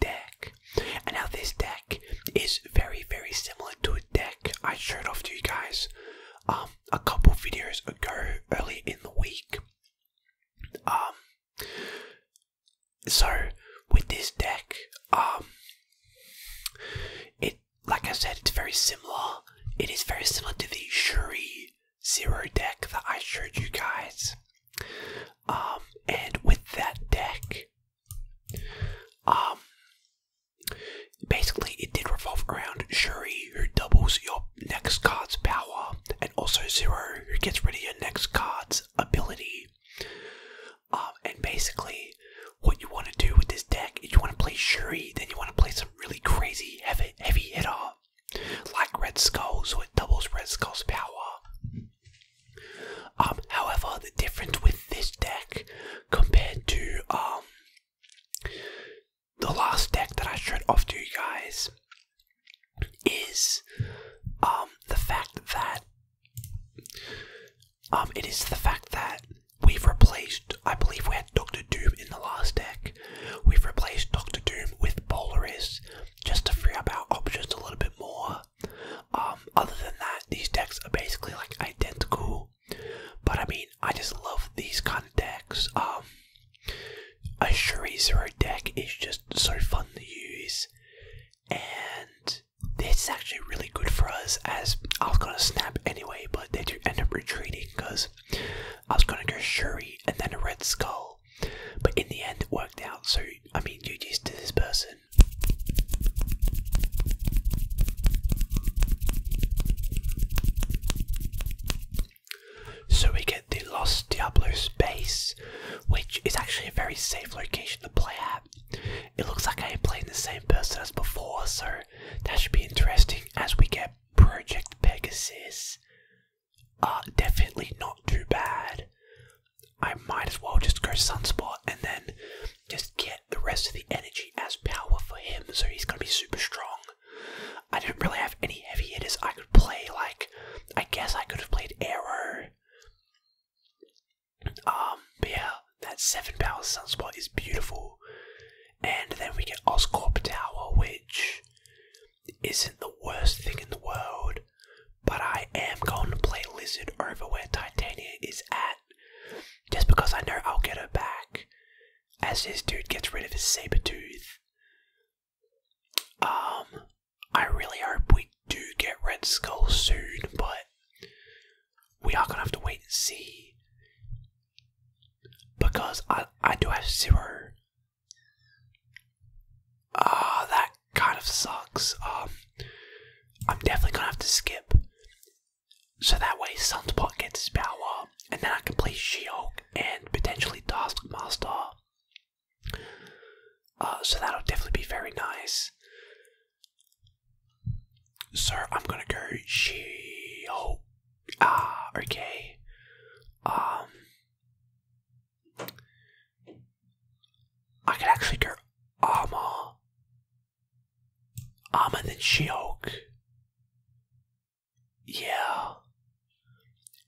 deck. And now this deck is very, very similar to a deck I showed off to you guys um, a couple videos ago, early in the week. Um, so with this deck, um, it like I said, it's very similar. It is very similar to the Shuri Zero deck that I showed you guys. Um, and with that deck, um, basically, it did revolve around Shuri, who doubles your next card's power, and also Zero, who gets rid of your next card's ability. Um, and basically, what you want to do with this deck is you want to play Shuri, then you want to play some really crazy heavy heavy hitter like Red Skull, so it doubles Red Skull's power. Um, however, the difference with this deck compared to um, the last deck that I showed off to you guys is um, the fact that it is the fact that we've replaced, I believe we had Doctor Doom in the last deck. We've replaced Doctor Doom with Polaris just to free up our options a little bit more. Um, other than that, these decks are basically like identical. But I mean, I just love these kind of decks. Um, a Shuri Zero deck is just so fun to use, and this is actually really good for us. As I was gonna snap anyway, but they do end up retreating because I was gonna go Shuri and then a Red Skull. But in the end, it worked out. So I mean, you just to this person. So we get the Lost Diablos base, which is actually a very safe location to play at. It looks like I am playing the same person as before, so that should be interesting as we get Project Pegasus. Uh, definitely not too bad. I might as well just go Sunspot and then just get the rest of the energy as power for him, so he's gonna be super strong. I don't really have any heavy hitters I could play, like, I guess I could have played error. Um, but yeah, that 7 power Sunspot is beautiful. And then we get Oscorp Tower, which isn't the worst thing in the world. But I am going to play Lizard over where Titania is at. Just because I know I'll get her back. As this dude gets rid of his saber tooth. Um, I really hope we do get Red Skull soon, but we are gonna have to wait and see. Because I I do have zero Ah, that kind of sucks. Um, I'm definitely gonna have to skip. So that way, Sunspot gets his power, and then I can play She-Hulk and potentially Taskmaster. Uh, so that'll definitely be very nice. So I'm gonna go She-Hulk. Ah, okay. Um, I could actually go armor. Armor then she Yeah.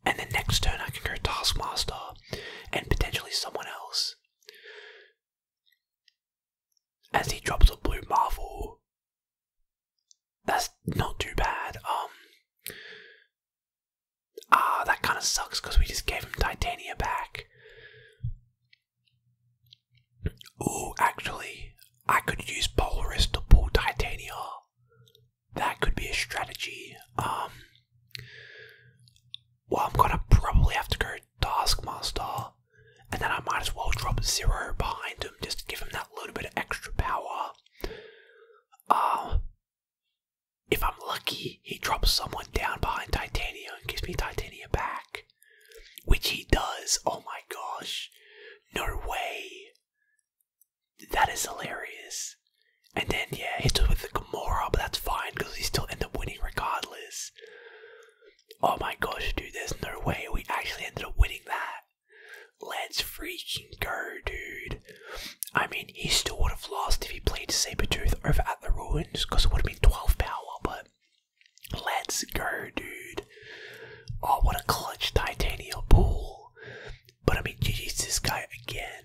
And then next turn I can go Taskmaster and potentially someone else. As he drops a blue Marvel. That's not too bad. Um Ah, that kind of sucks because we just gave him Titania back. Ooh, actually, I could use Polaris to pull Titania. That could be a strategy. Um, well, I'm gonna probably have to go Taskmaster, and then I might as well drop Zero behind him just to give him that little bit of extra power. Um, if I'm lucky, he drops someone down behind Titania and gives me Titania back. Which he does. Oh my gosh. No way. That is hilarious. And then, yeah, hits us with the Gamora, but that's fine because he still end up winning regardless. Oh my gosh, dude, there's no way we actually ended up winning that. Let's freak go, dude. I mean, he still would have lost if he played Sabretooth over at the Ruins, because it would have been 12 power, but let's go, dude. Oh, what a clutch titanium pull. But I mean, GG's this guy again.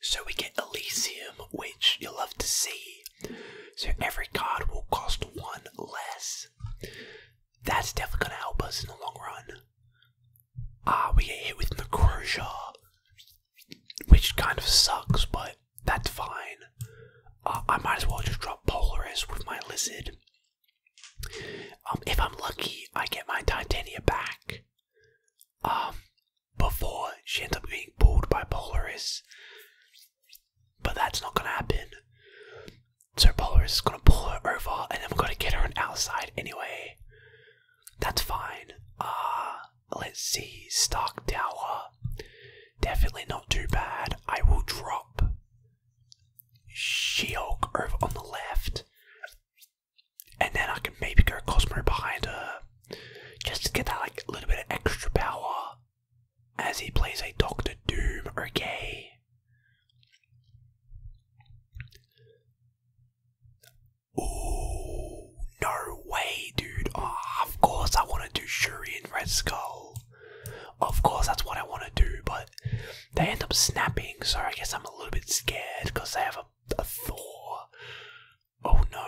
So we get Elysium, which you'll love to see. So every card will cost one less. That's definitely gonna help us in the long run. Ah, we get hit with Necrosia, which kind of sucks, but that's fine. Ah, I might as well just drop Polaris with my Lizard. Um, if I'm lucky, I get my Titania back. Um, before she ends up being pulled by Polaris. But that's not gonna happen. So Polaris is gonna pull her over and then we're gonna get her on outside anyway. That's fine. Uh let's see, Stark Tower. Definitely not too bad. I will drop Sheok over on the left. And then I can maybe go Cosmo behind her. Just to get that like a little bit of extra power as he plays a Doctor Doom, okay? Oh, no way, dude. Oh, of course I want to do Shuri and Red Skull. Of course, that's what I want to do, but they end up snapping, so I guess I'm a little bit scared because they have a Thor oh no.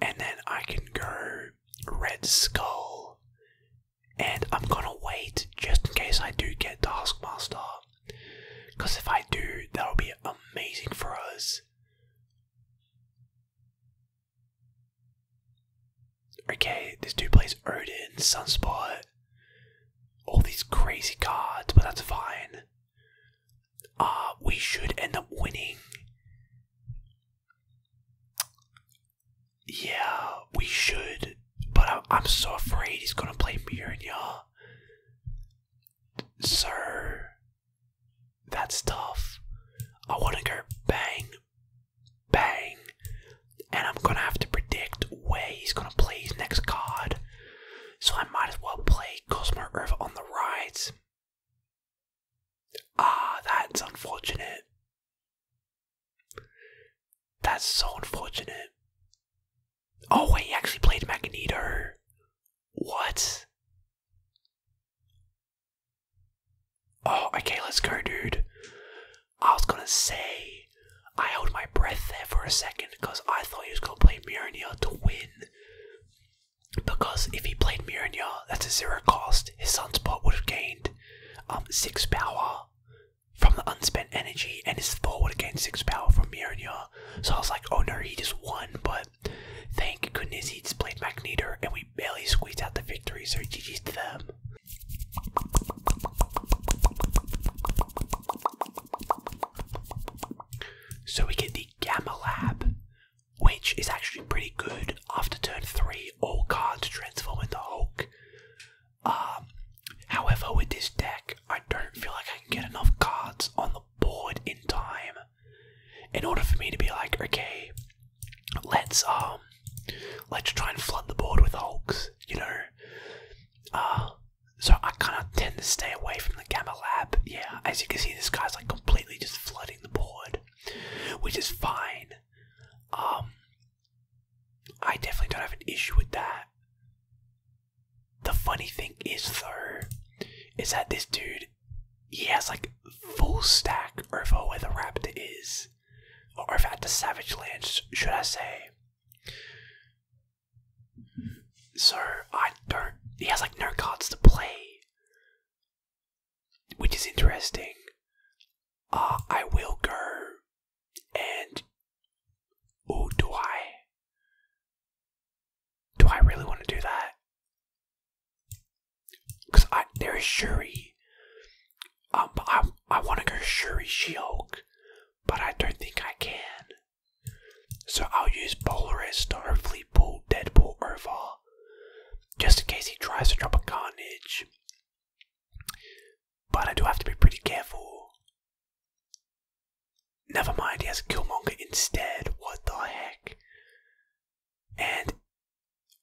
And then I can go Red Skull. And I'm gonna wait just in case I do get Taskmaster. Because if I do, that'll be amazing for us. Okay, this dude plays Odin, Sunspot, all these crazy cards, but that's fine uh, we should end up winning. Yeah, we should. But I'm, so afraid he's gonna play Mjolnir. Sir, that's tough. I wanna go bang, bang. And I'm gonna have to predict where he's gonna play his next card so I might as well play Cosmo River on the rides. Ah, that's unfortunate. That's so unfortunate. Oh, wait, he actually played Magneto. What? Oh, okay, let's go, dude. I was gonna say, I held my breath there for a second because I thought he was gonna play Mjolnir to win. Because if he played Mjolnir, that's a zero cost. His Sunspot would have gained um, six power from the unspent energy, and his Thor would have gained six power from Mjolnir. So I was like, oh no, he just won. But thank goodness he just played Magneto, and we barely squeezed out the victory. So GG's to them. So we get the Gamma Lab, which is actually pretty good. After turn 3, all cards transform into Hulk. Um, however, with this deck, I don't feel like I can get enough cards on the board in time in order for me to be like, okay, let's um, let's try and flood the board with Hulks, you know. Uh, so I kind of tend to stay away from the Gamma Lab. Yeah, as you can see, this guy's like completely just flooding the board, which is fine. Um, I definitely don't have an issue with that. The funny thing is, though, is that this dude, he has like full stack over where the Raptor is, or over at the Savage Lands, should I say? So I don't. He has like no cards to play, which is interesting. Uh, I will go and. Oh, do I? Do I really want to do that? Because I there is Shuri. Um, I I want to go Shuri She-Hulk, but I don't think I can. So I'll use Polaris to hopefully pull Deadpool over, just in case he tries to drop a Carnage. But I do have to be pretty careful. Never mind, he has a Killmonger instead. What the heck? And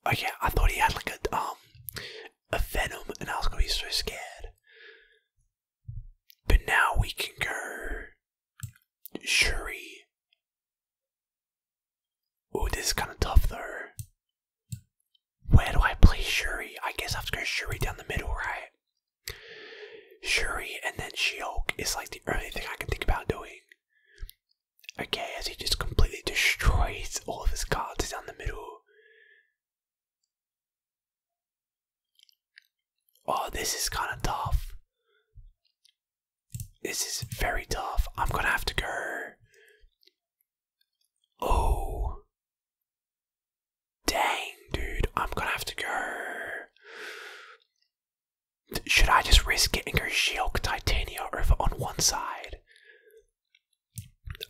oh yeah, I thought he had like a um a Venom, and I was gonna be so scared. But now we can go Shuri. Oh, this is kind of tough though. Where do I play Shuri? I guess I have to go Shuri down the middle, right? Shuri and then she is like the only thing I can think about doing. Okay, as he just completely destroys all of his cards down the middle. Oh, this is kind of tough. This is very tough. I'm gonna have to go. Oh. Dang, dude. I'm gonna have to go. Should I just risk getting her go Titania over on one side?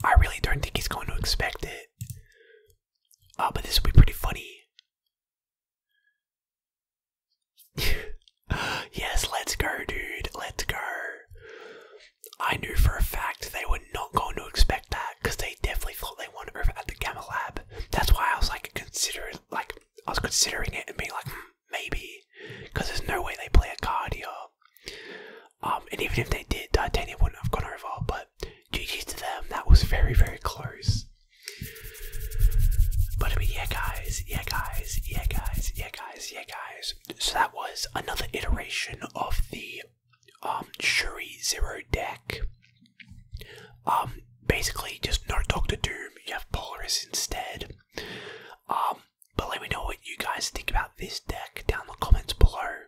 I really don't think he's going to expect it. Uh, but this will be pretty funny. yes, let's go, dude. Let's go. I knew for a fact they were not going to expect that because they definitely thought they won over at the Gamma Lab. That's why I was like considering, like I was considering it and being like, hmm, maybe, because there's no way they play a card here. Um, and even if they did, Titania wouldn't have gone over. But GG to them. That was very, very close. But I mean, yeah, guys, yeah, guys, yeah, guys, yeah, guys, yeah, guys. So that was another iteration of the um, Shuri Zero deck. Um, basically, just no Doctor Doom. You have Polaris instead. Um, but let me know what you guys think about this deck down in the comments below.